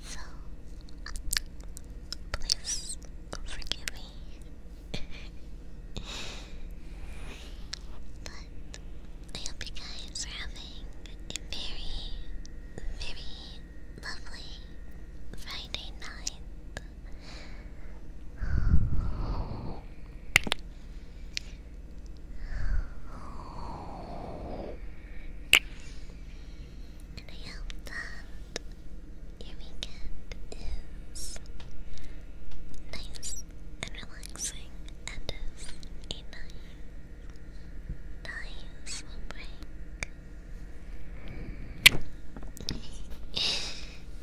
So, please forgive me. but I hope you guys are having a very, very lovely Friday night. And I hope that your weekend is nice and relaxing and is a nice, nice break.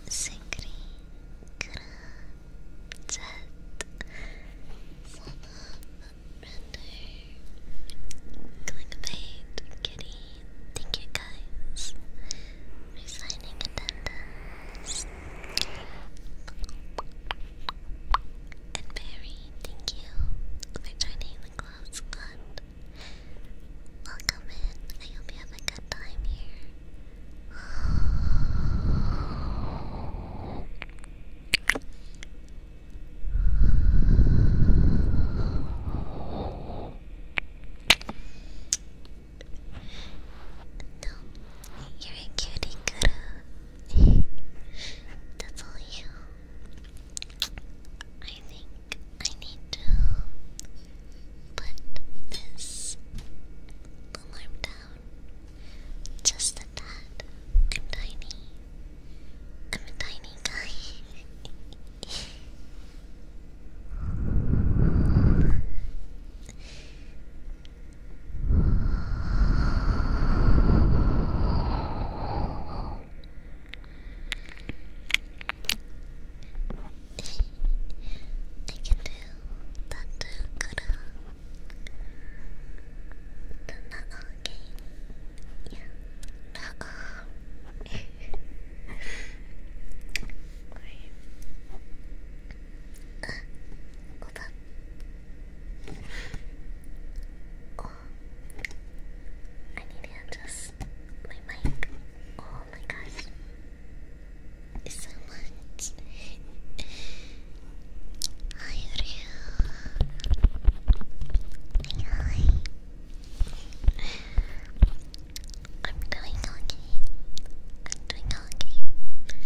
Singri Render, Clickbait, Kitty. Thank you guys for signing And Barry, thank you for joining the Cloud Welcome in. I hope you have a good time here. No, you're a cutie girl. That's all you. I think I need to put this alarm down just a tad. I'm tiny. I'm a tiny guy. I can do that too, good. That's not okay. Yeah. hold up. Oh, I need to adjust my mic. Oh my gosh, so much. Hi, Hi. I'm doing okay. I'm doing okay.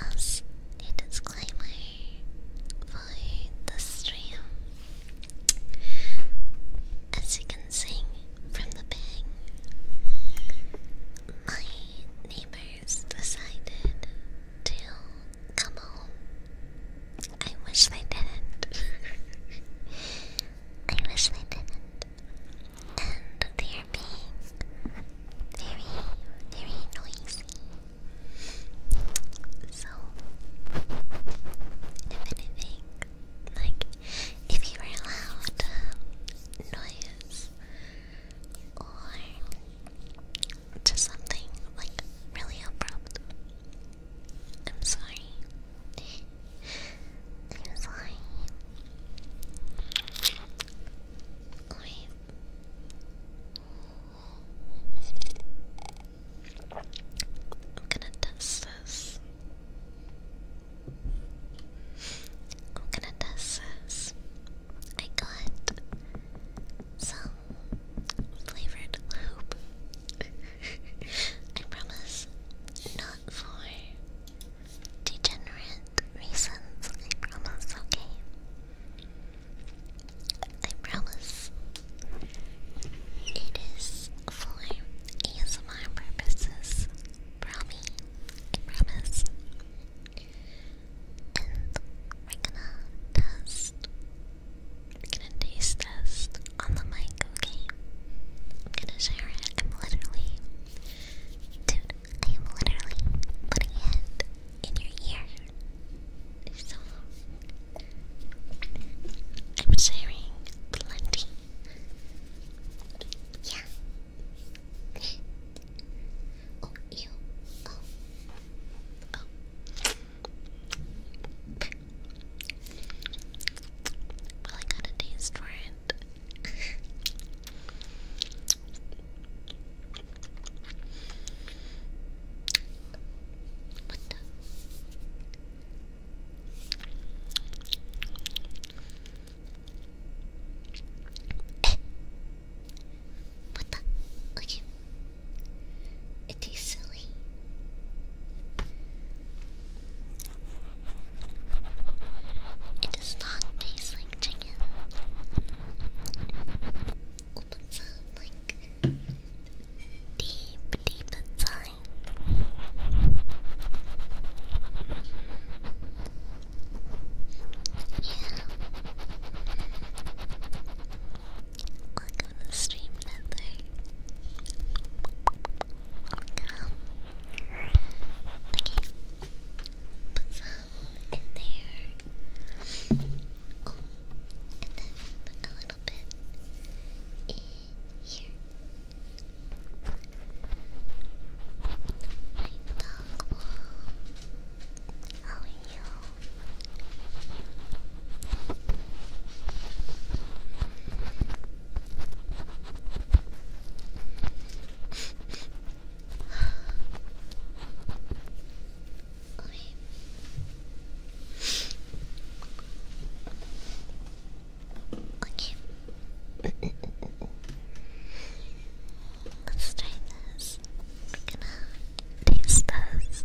As a disclaimer for the stream, as you can sing from the bang, my neighbors decided to come home I wish they didn't. I wish they didn't. And they're being very, very noisy. So, if anything, like if you were loud um, noise or just something like really abrupt, I'm sorry. I'm sorry. Wait. I'm gonna test this. I'm gonna test this. I got some flavored hope. I promise, not for degenerate reasons. I promise, okay? I promise. It is for ASMR purposes. Promi. promise. And we're gonna test gonna taste test on the mic, okay? I'm gonna share it. I'm literally, dude, I am literally putting it in your ear. So, I'm sharing plenty. Yeah. oh, you. Oh. oh. Well, I got a taste for it. what the? what the? Okay. It tastes silly. It does not taste like chicken. Opens up uh, like deep, deep inside. Yeah. Welcome to the stream, Nether. Okay. Put some in there. and then a little bit in here. My dog will. How are you? Okay. okay. Let's try this. This test.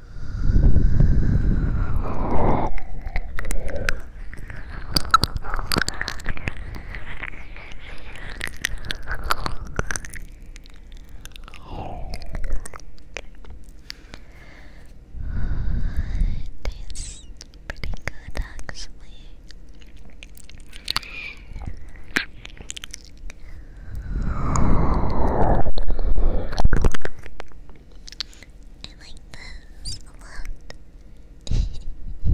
It tastes pretty good actually. I like this a lot.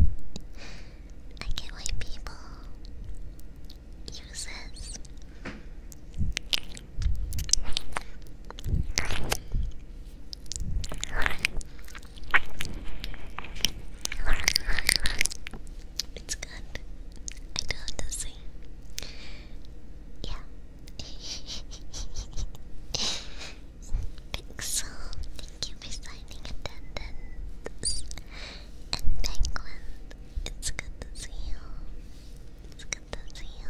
I get why people use It's good. I don't have to sing. Yeah, Pixel, thank you for signing attendance. And Penguin, it's good to see you. It's good to see you.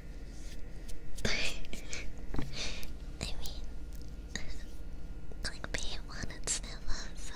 I mean, clickbait wanted Snip so.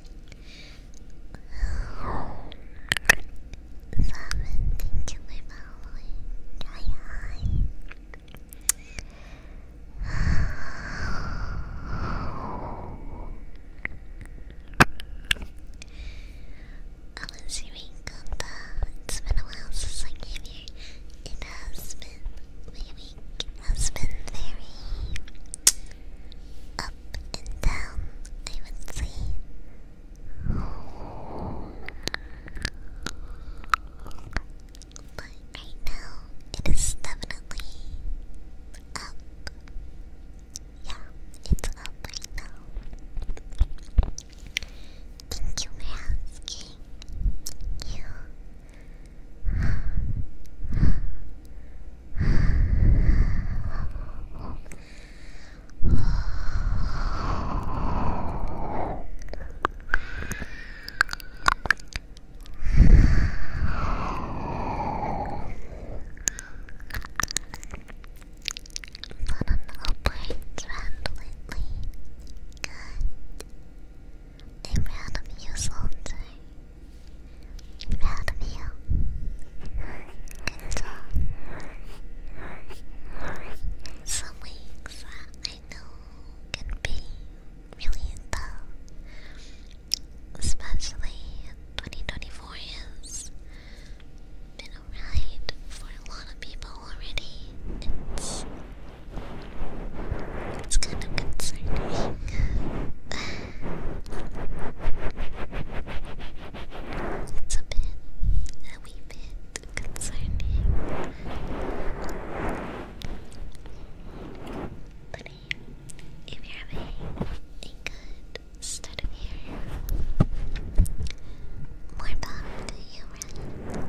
Simon, thank you for following. Hi, hi. I was hearing Gumba. It's been a while since I came here. It has been maybe week has been very up and down, I would say. But right now, it is definitely up. Yeah, it's up right now. Thank you for asking. You not an upward trend lately. I'm of you, soldier. I'm of you. Good job. Some weeks I know can be really tough, especially 2024 has been a ride for a lot of people already. It's it's kind of concerning. It's a bit, a wee bit concerning. But if you're having a good start year, more power to you,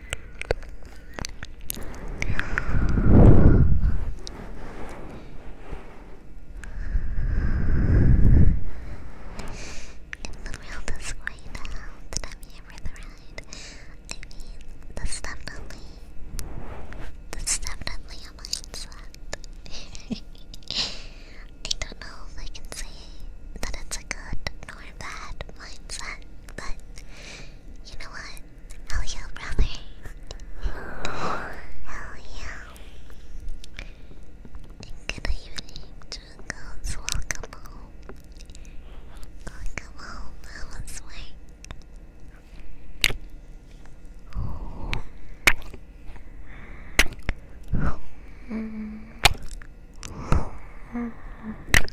the world is going down that I'm here for the ride. I definitely, that's definitely a mindset. I don't know if I can say that it's good nor bad mindset, but you know what? Hell yeah, brother. Hell yeah. Good evening, Jungles. Welcome home. Welcome home. How was work?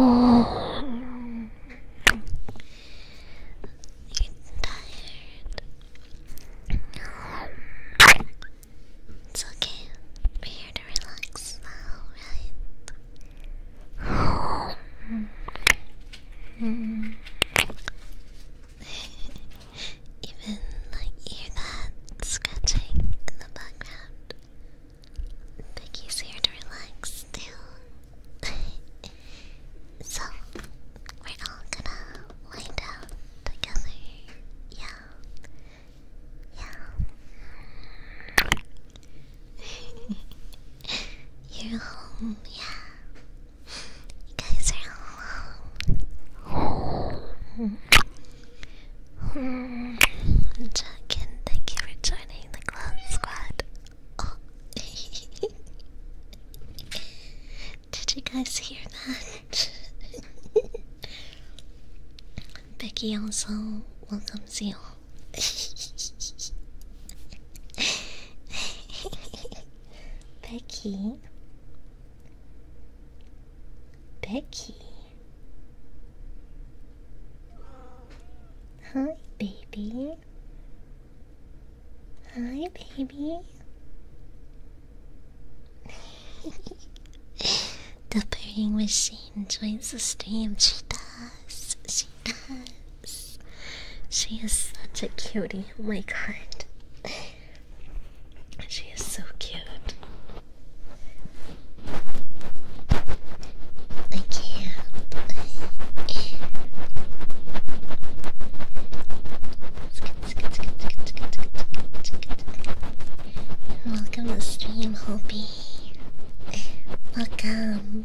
Oh. you tired. It's okay. We're here to relax now, even like hear that scratching in the background. Make easier to relax too. so we're all gonna lie down together. Yeah. Yeah. You're home, yeah. You guys are home. Hmm. thank you for joining the clown squad. Did you guys hear that? Becky also welcomes you. Becky. Becky. Hi, baby. Hi, baby. the purring machine joins the stream. She does. She does. She is such a cutie. Oh my god. She is so cute. I can't. Welcome to stream, Hopi. Welcome.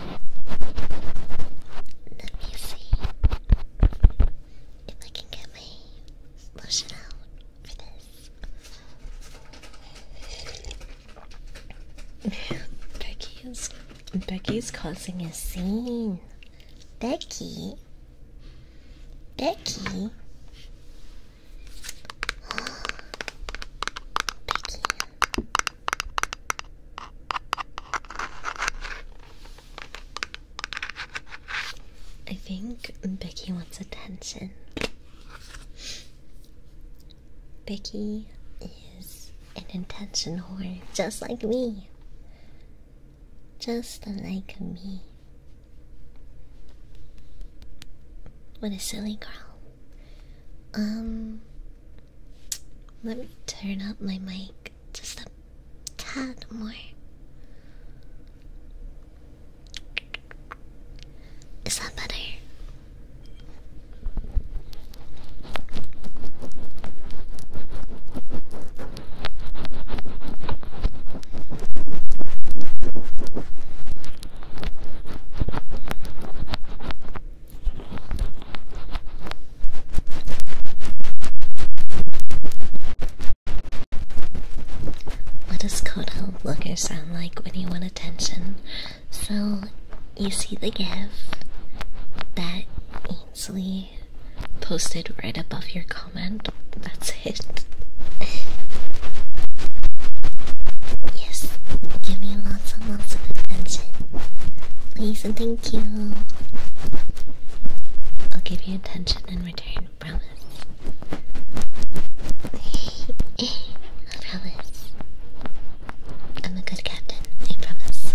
Let me see if I can get my lotion out for this. Becky's Becky's causing a scene. Becky. Becky. Becky. I think Becky wants attention. Becky is an attention whore, just like me. Just like me. What a silly girl. Um, let me turn up my mic just a tad more. Is that better? What does cuddle looker sound like when you want attention? So you see the gif that Ainsley posted right above your comment. That's it. yes, give me lots and lots of attention. Please and thank Thank you. I'll give you attention in return, promise. I promise. I'm a good captain, I promise.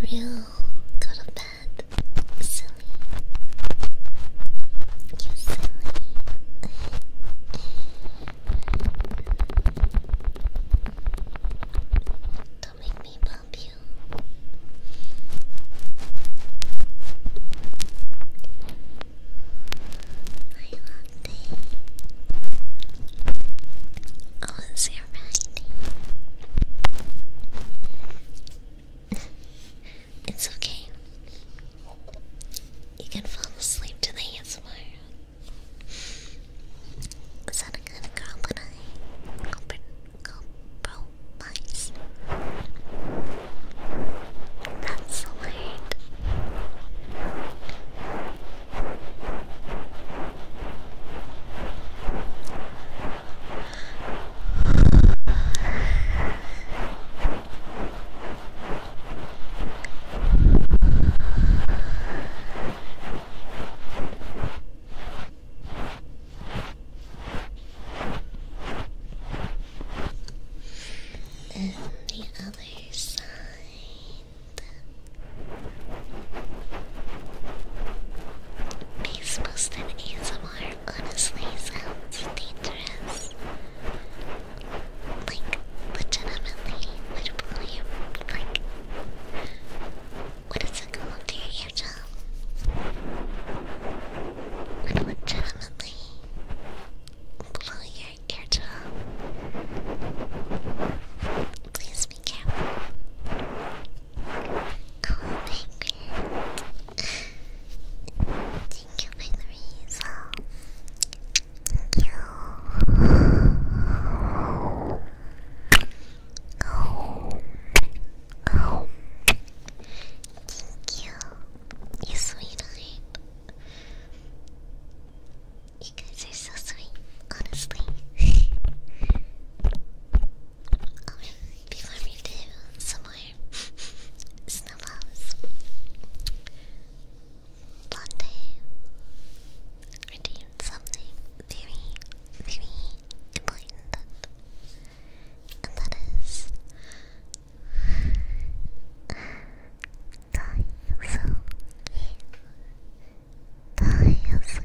Real, go to bed, silly. You silly. Don't make me bump you. My latte. Oh, it's your it's okay. You can fall asleep to the ASMR. Is that a good compromise? That's alert. And the other side. Peace posted ASMR honestly sounds dangerous. Like, legitimately, would believe, like, what is it called? Do you hear, Would legitimately blow your eardrum. Please be careful. Oh, thank Thank you for the raise. Thank you. Oh. Oh. Thank you. You sweetheart. You guys are so sweet, honestly. Alright, before we do some color. Snuffles. Blonde. Redeemed something very, very important. And that is. Die so Die so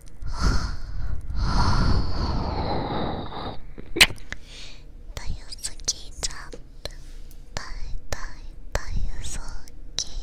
Daisuke jump. Dai, dai, Daisuke.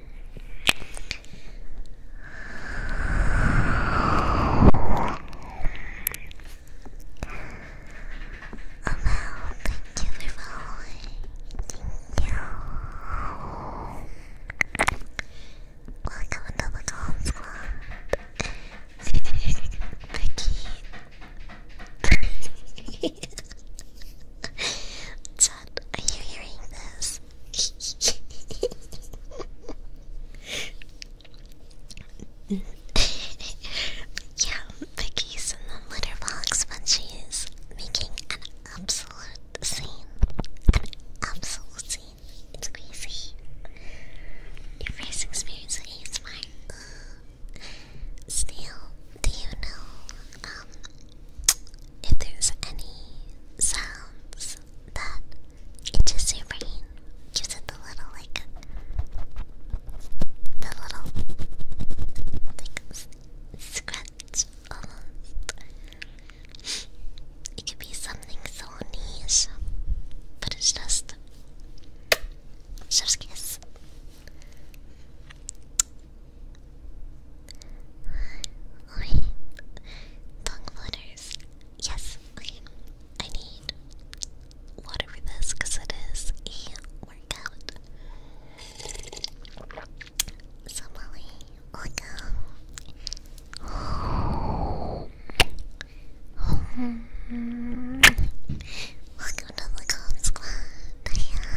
thank you for following. Thank you. Welcome to the calm squad. Becky. Chad, are you hearing this? yeah, Vicky's in the litter box, but she making an absolute scene. An absolute scene. It's crazy. Your first experience with ASMR. Still, do you know um, if there's any sounds that itches your brain, gives it the little like the little like scratch almost. It could be something so niche, but it's just chef's kiss. Alright. Tongue flutters. Yes, okay. I need water for this because it is a workout. Somali, welcome. welcome to the Cold Squad. Hi,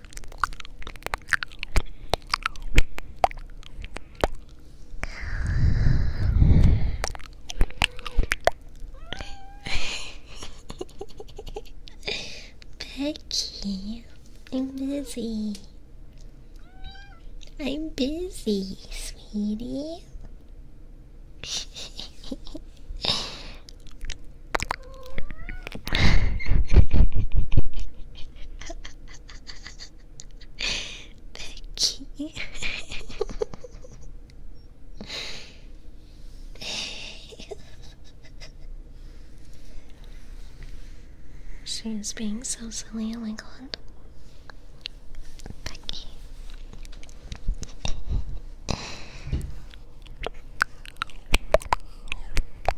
Becky, I'm busy. I'm busy, sweetie. Becky. She's being so silly and England. Becky.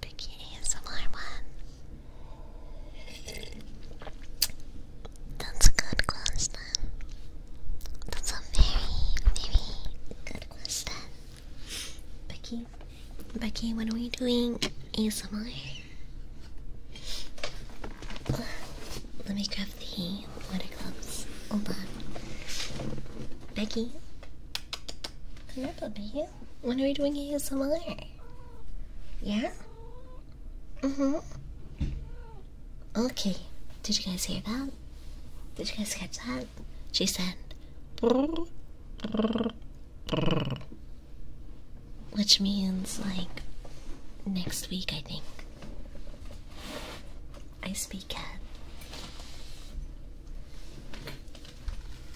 Picky ASMR one. That's a good question. That's a very, very good question. Becky, Becky, what are we doing? ASMR? Let me grab the water gloves. Hold Becky, Hello, When are we doing ASMR? Yeah? Mm-hmm. Okay. Did you guys hear that? Did you guys catch that? She said, which means like next week, I think. I speak cat.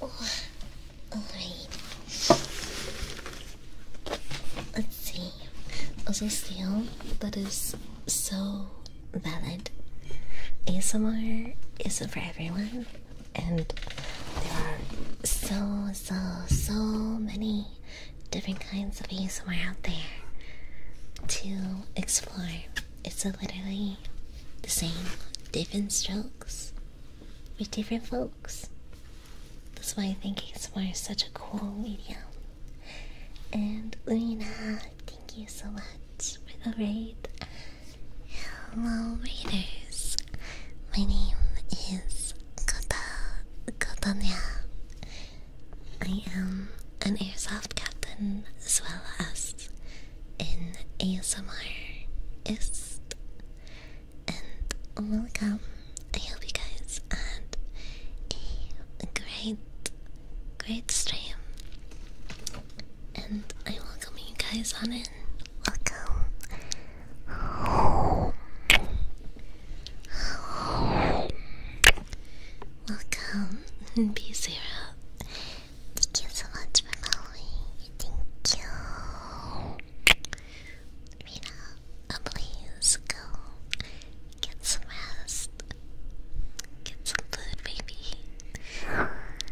Oh, alright. Let's see. Also, still, that is so valid. ASMR isn't for everyone, and there are so, so, so many different kinds of ASMR out there to explore it's literally the same, different strokes with different folks. That's why I think it's more such a cool medium. And Luna, thank you so much for the raid. Hello, readers. My name is Kota Kotanya. I am an airsoft captain as well as in ASMR is and welcome. I hope you guys had a great great stream and I welcome you guys on in. Welcome. Welcome, be Zero. Thank you so much for following. Thank you. Rita, uh, please go get some rest. Get some food, baby.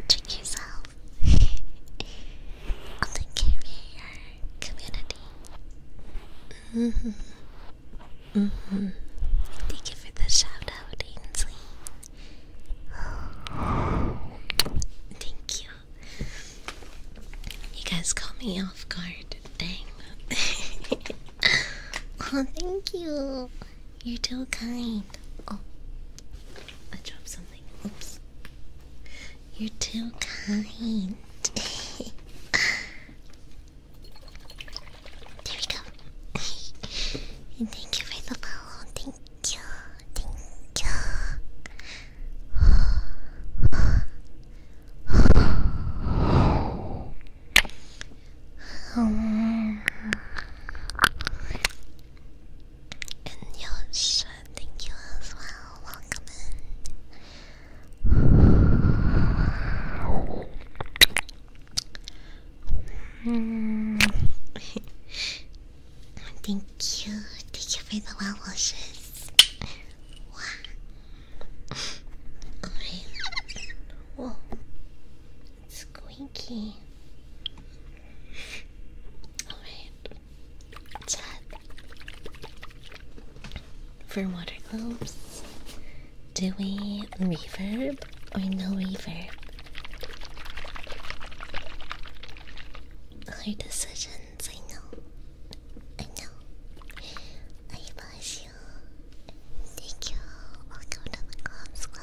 Treat yourself. I'll take care of your community. hmm. hmm. Thank you for the shout out, Thank you. You guys caught me off guard. Dang. oh, thank you. You're too kind. Oh, I dropped something. Oops. You're too kind. There we go. thank you for the follow. Thank you. Thank you. um, and Yosh, thank you as well. Welcome in. Thank you. Thank you for the well Whoa. squeaky. Alright. Chat. For water globes, do we reverb reverb or no reverb? Our decisions, I know. I know. I bless you. Thank you. Welcome to the club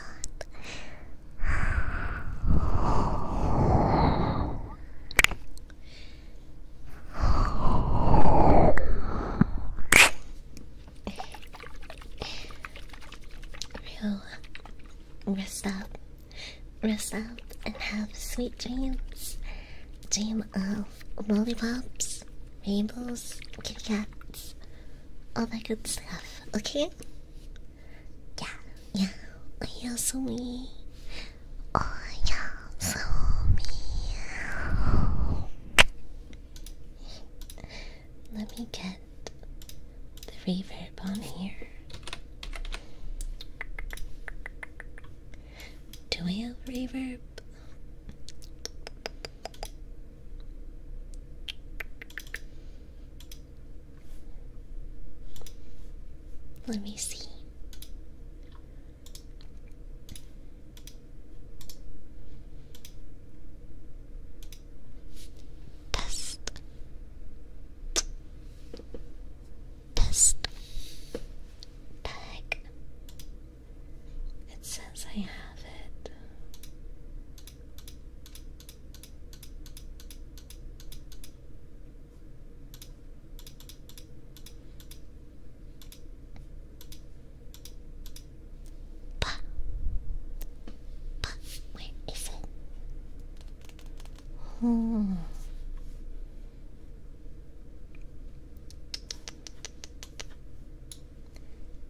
Rue, rest up, rest up, and have sweet dreams. Dream of lollipops, rainbows, kitty cats, all that good stuff. Okay? Yeah, yeah. Oh, you're so me. Oh, you so me. Let me get the reverb on here. Do we have reverb? Let me see. Best. Best. Bag. It says I have it. Pa. Pa. Where is it? Hmm.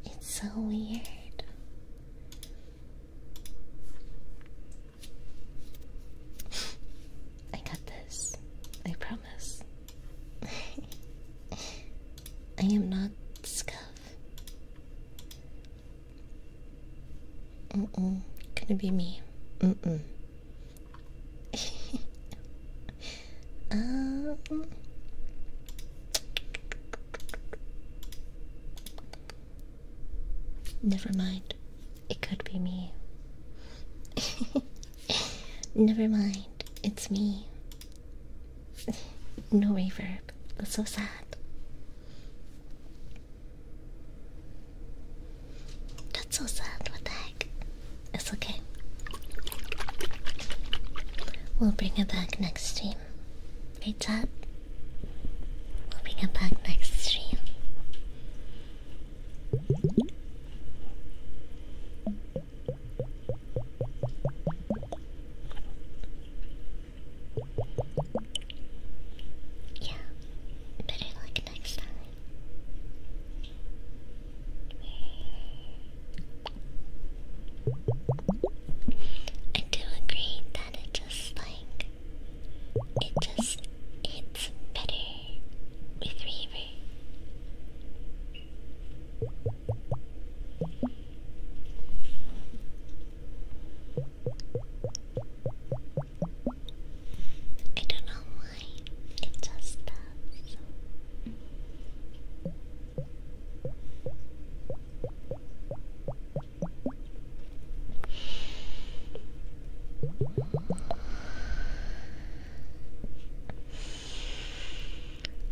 It's so weird. I got this. I promise. I am not scuff. Mm-mm. Gonna be me. Mm-mm. Um. Never mind. It could be me. Never mind. It's me no reverb. That's so sad. That's so sad. What the heck? It's okay. We'll bring it back next stream. Right, chat? We'll bring it back next stream. Yeah, better luck next time. I do agree that it just like it just hits better with Reaver. I don't know why, it just does.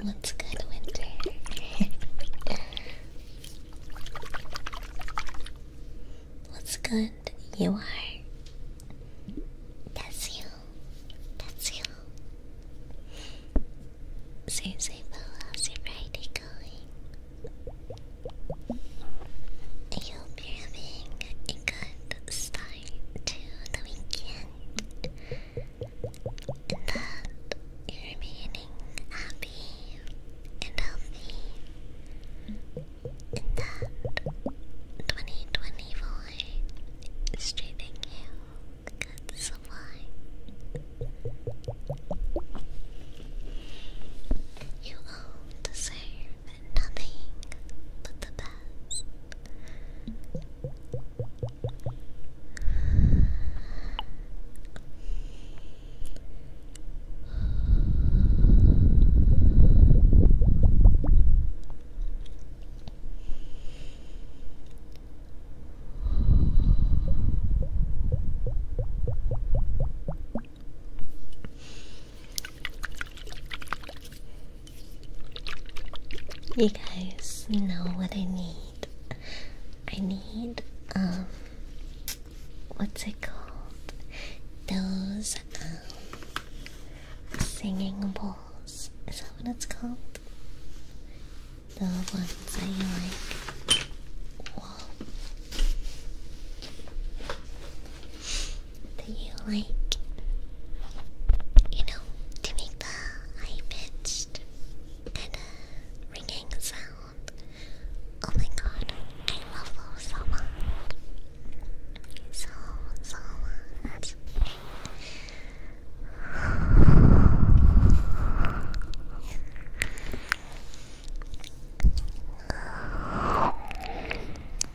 What's good, Winter? What's good? You are. That's you. That's you. Seriously, Bella, how's your Friday going? I hope you're having a good start to the weekend and that you're remaining happy and healthy and that 2024 is treating you good supply. You all deserve nothing but the best. You guys know what I need. I need um what's it called? Those um singing bowls. Is that what it's called? The ones I like that you like, you know, to make the high pitched and ringing sound. Oh my god, I love those so much.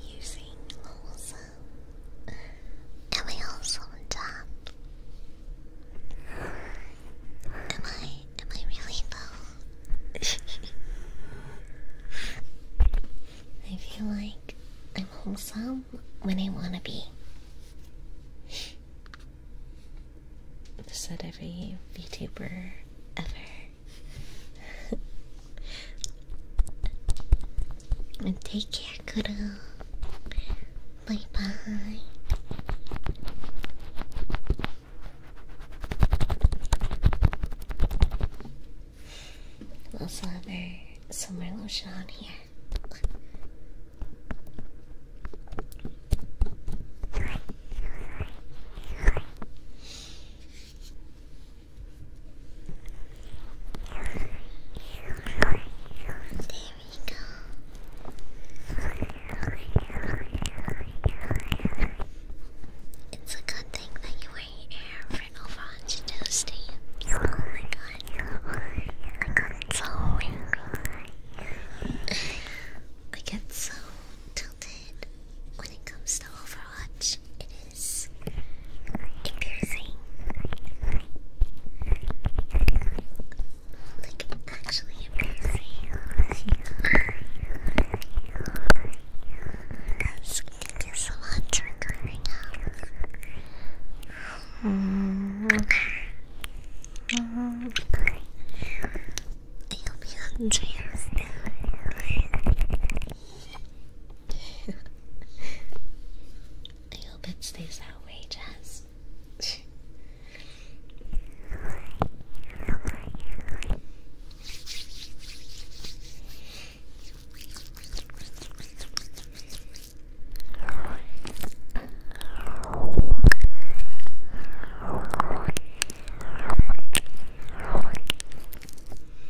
Using Lolsa Am I also on top? Am I? Am I really though? I feel like I'm wholesome when I want to be. Said every VTuber ever. And take care, Kuro. Bye bye. We also have our lotion on here go. It's a good thing that you were here for over 100 Tuesdays. I get so tilted when it comes to Overwatch is embarrassing. Like, actually embarrassing. That's getting us a lot drunk right now. Mm. Mm. I hope you I hope it stays that way, Jazz.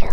You're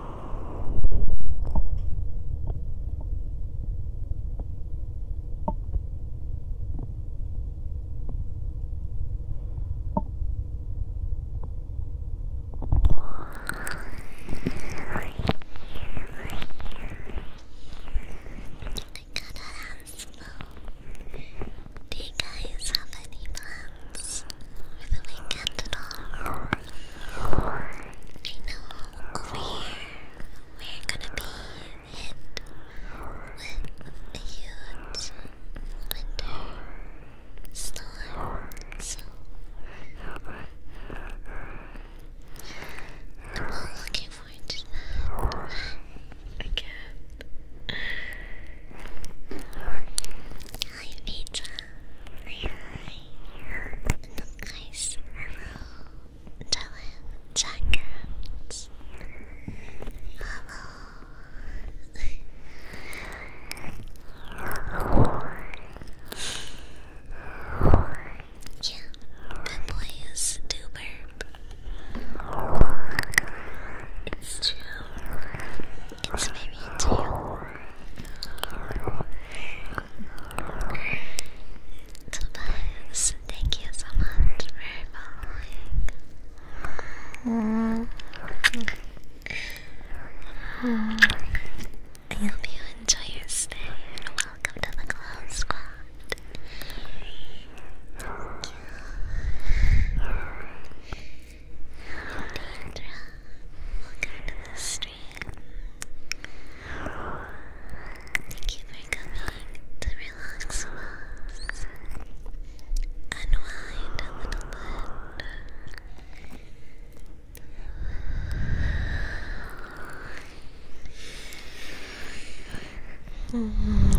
Do you guys have any plans for the weekend at all? I know we're gonna be hit with a huge winter storm. So I'm looking forward to that. Again. Hi, Petra. Nice Hello, Dylan Jackets. Hello. yeah, that boy is duper. It's true. It's very true. Tobias, thank you so much for following. I hope you enjoy your stay and welcome to the Cloud Squad. Thank welcome to the stream. Thank you for coming to relax with us. Unwind a little bit. Mm.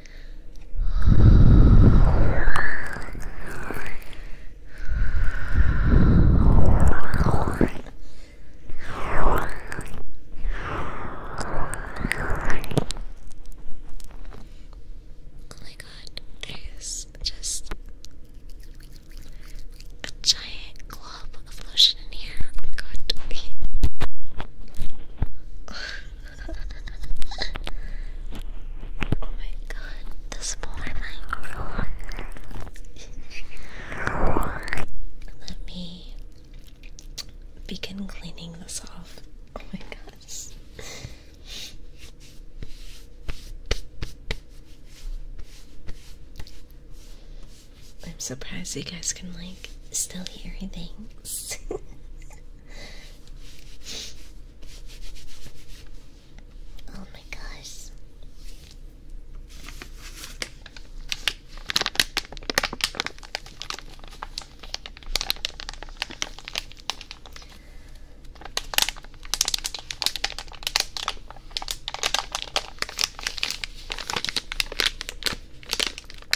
Oh my god, there's just a giant glob of lotion in here. Oh my god oh my god, the smaller Let me begin cleaning this off. Oh my gosh. I'm surprised you guys can like still hear things. Oh my gosh.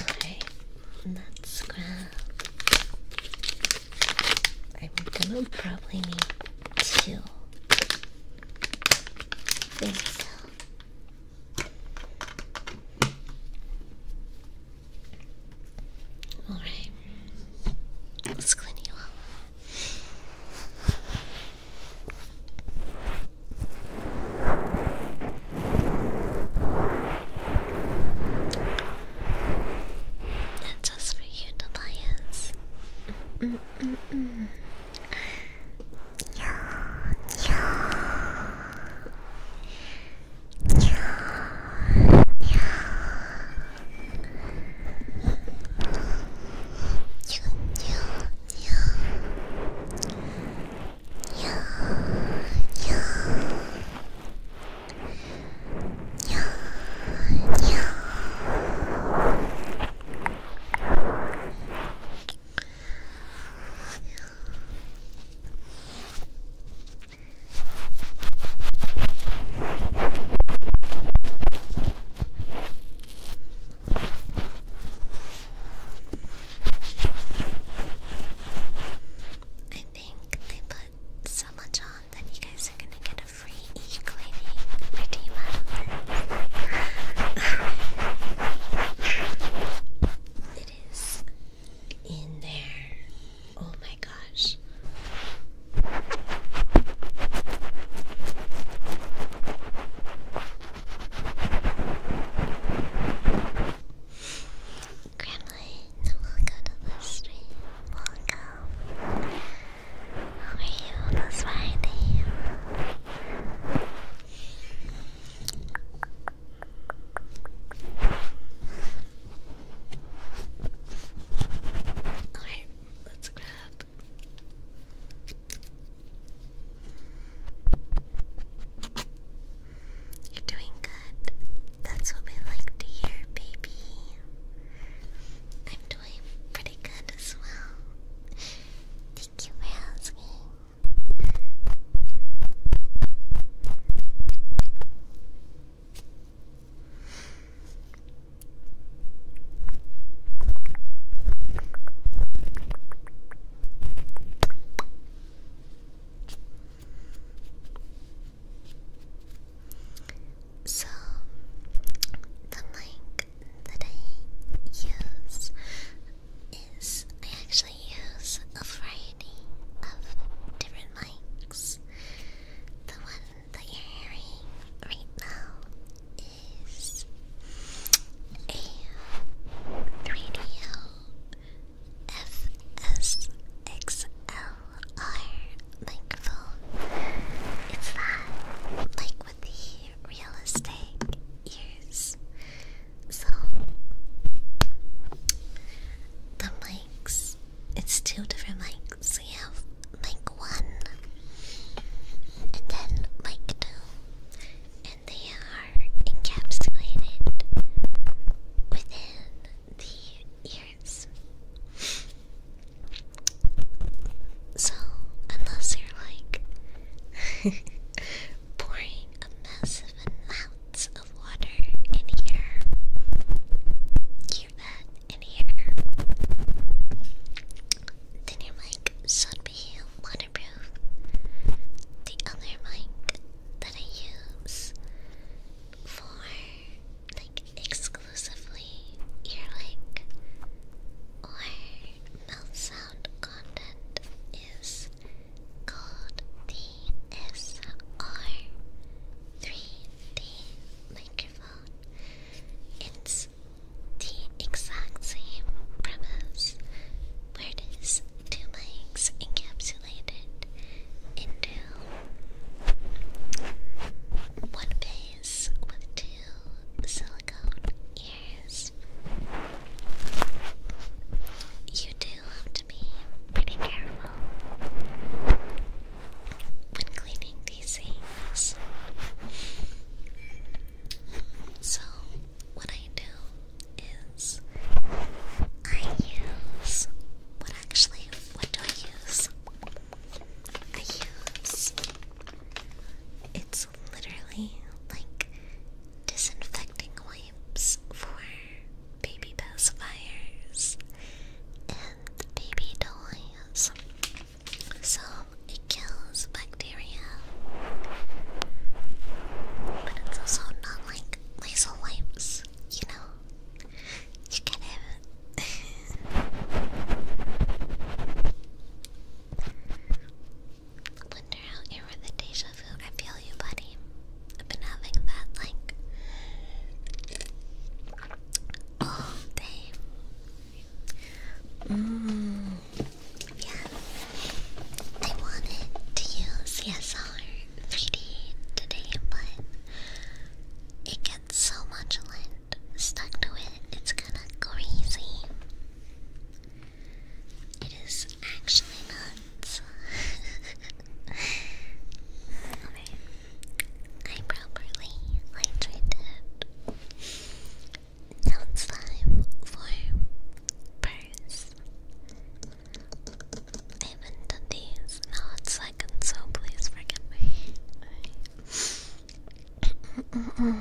Alright, let's grab I'm gonna probably need two. Think so. All right, let's clean you up just for you, Tobias. Mm -mm yeah. Yeah, yeah. Yeah, yeah, yeah. Yeah, yeah. I think they put so much on that you guys are gonna get a free e-cleaning redeem out it is in there. Oh my gosh we Gremlin, welcome to the stream. Welcome. How are you this Friday? Alright, let's grab. You're doing good. That's what we like to hear, baby. I'm doing pretty good as well. Thank you for so, the mic that I use is I actually use a variety of different mics. The one that you're hearing right now is a 3DO our microphone. It's that, like with the realistic ears. So, the mics, it's two different mics. We have mic one, and then mic two, and they are encapsulated within the ears. So, unless you're like pouring a massive amount of water in here, hear that in here, then your mic should be waterproof. The other mic that I use for like exclusively earlick or mouth sound content is called the SR3D microphone. It's the exact same premise where it is two mics encapsulated into one base with two silicone ears. You do have to be pretty careful when cleaning these things. So, what I do is I use what actually, what do I use? I use. It's literally like disinfecting wipes for baby pacifiers and baby toys. So it kills bacteria. But it's also not like laser wipes, you know? You can have Wonder how you were the deja vu. I feel you, buddy. I've been having that like all day. Mm. Yeah. I wanted to use CSR 3D today, but it so much lint stuck to it, it's kinda crazy. It is actually nuts. okay. I properly hydrated. Now it's for purse i haven't done these in a hot second, so please forgive me.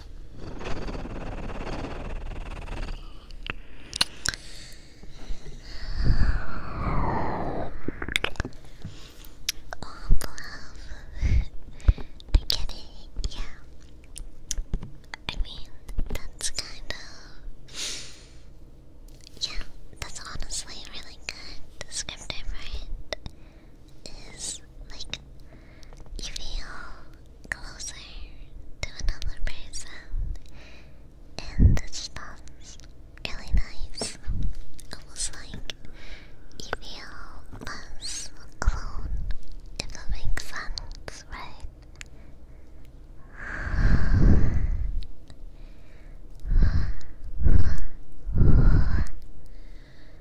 Oh, love. I get it, yeah. I mean, that's kind of. Yeah, that's honestly really good. Descriptive, right? Is like you feel closer to another person, and it's just really nice. Almost like you feel less alone, if that makes sense, right?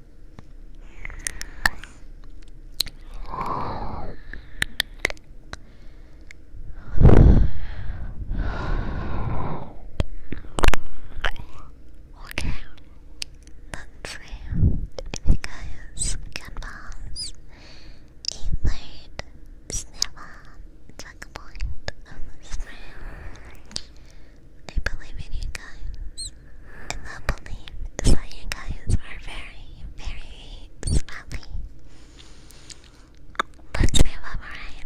Okay, let's see if you guys can pass a third snapper believe in you guys. I believe that you guys are very, very smelly. Let's alright.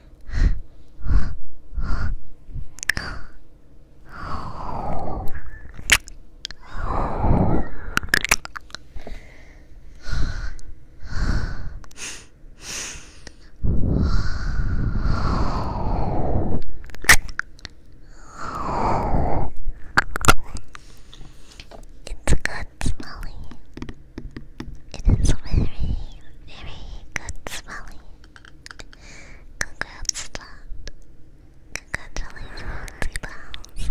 It's good smelling. It is very, very good smelling. Congrats, Dad. Congratulations, T Bounce.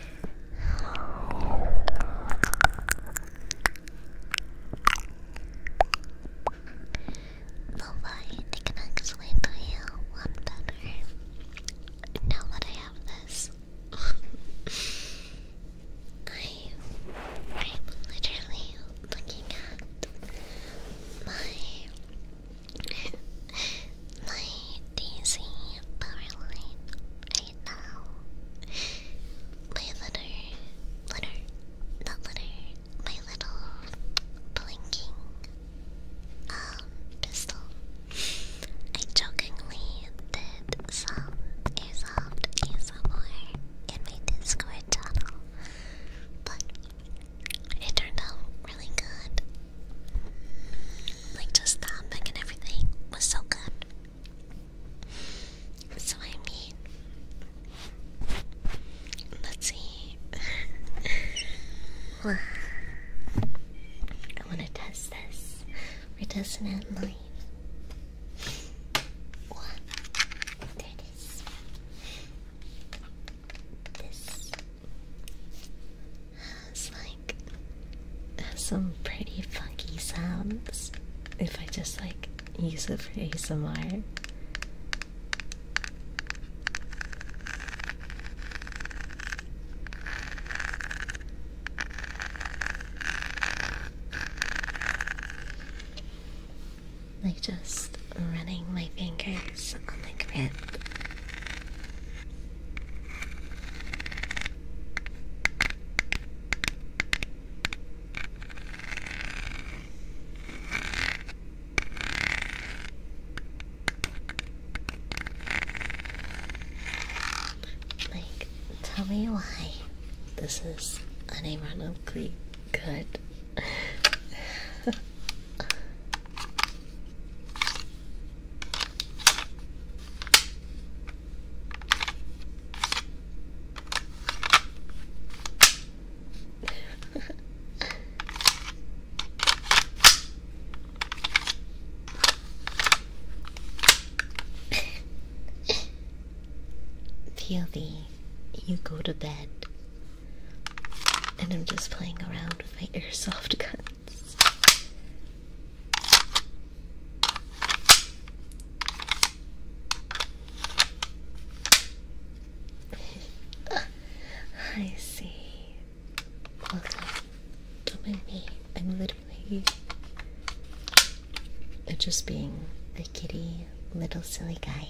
Well, I think I'm actually doing better now that I have this. I am literally looking at my my DC power right now. My little, little, little, my little blinking um, pistol. I jokingly did some airsoft in my Discord channel, but it turned out really good. Like just the humping and everything was so good. So I mean, let's see. I want to test this. We're testing it live. There it is. This. It's like some pretty funky sounds if I just like use it for ASMR. Like just running my fingers on my grid like, tell me why this is an ironically good. Peely, you go to bed. And I'm just playing around with my airsoft gun. I see. Well done. Don't mind me. I'm literally just being a kitty little silly guy.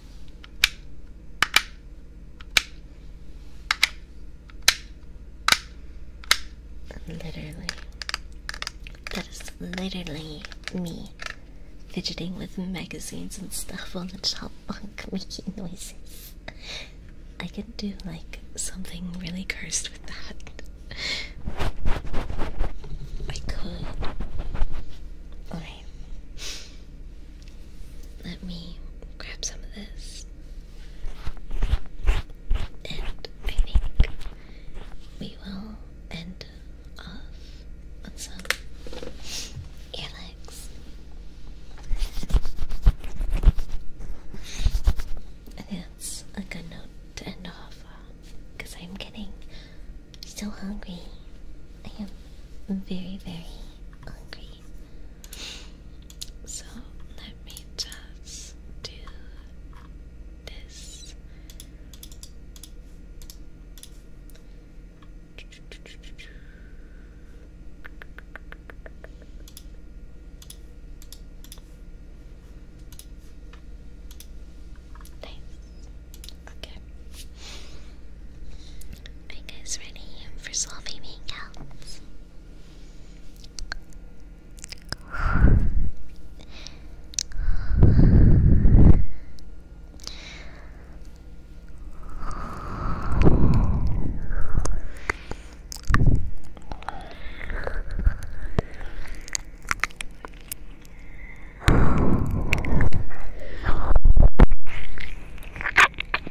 Literally. That is literally me fidgeting with magazines and stuff on the top bunk making noises. I could do like something really cursed with that. I could. Alright. Let me grab some of this. And I think we will end off on some earlegs. I think that's a good note to end off because I'm getting so hungry. I am very, very hungry. So let me just do this. Okay. Are you guys ready for solving makeouts?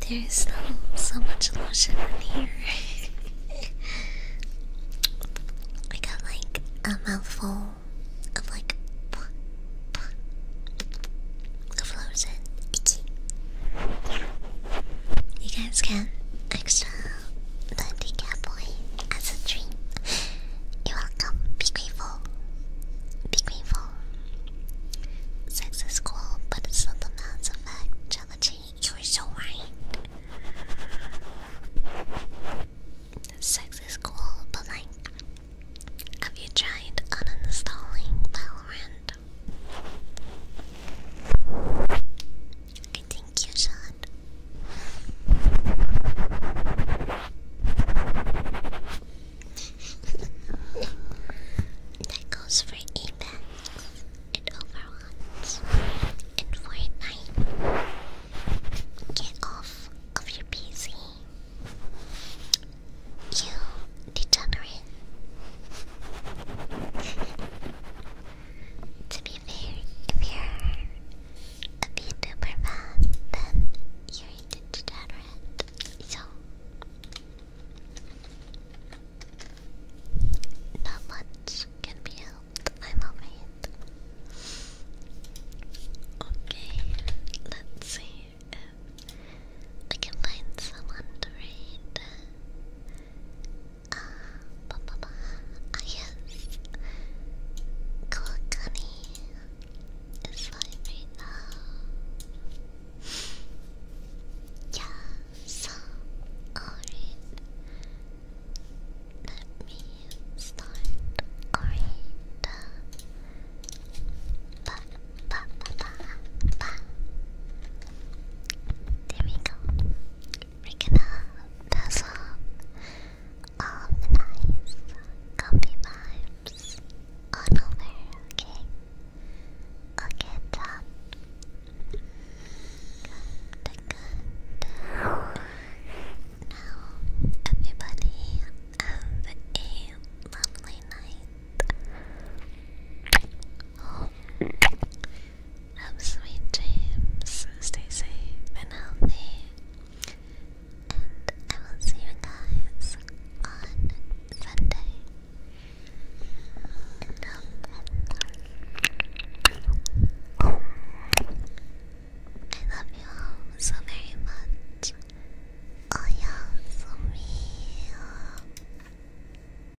There is so, so much lotion in here. I got like a mouthful of like lotion. You guys get extra Dirty Cowboy as a dream. You're welcome. Be grateful. Be grateful. Sex is cool, but it's not the man's effect. Challenging, you're so right. Sex is cool, but like, have you tried uninstalling Valorant? Sean. thank you, Sean. that goes for Apex Overwatch and Fortnite. Get off of your PC. You degenerate. To be fair, if you're a VTuber fan, then you're degenerate. So, not much can be helped, I'm afraid. Okay, let's see if I can find someone to read. Ah, ah, I guess Kokani is fine right now. Yeah, so alright. Let me start. Alright. Ba ba ba ba ba there we go. we gonna pass on all the comfy vibes on over, okay? Okay, done. Good, good. Now, everybody have a lovely night. Have sweet dreams. Stay safe and healthy. And I will see you guys on Sunday. I love you all so very much. Oh, yeah, so real.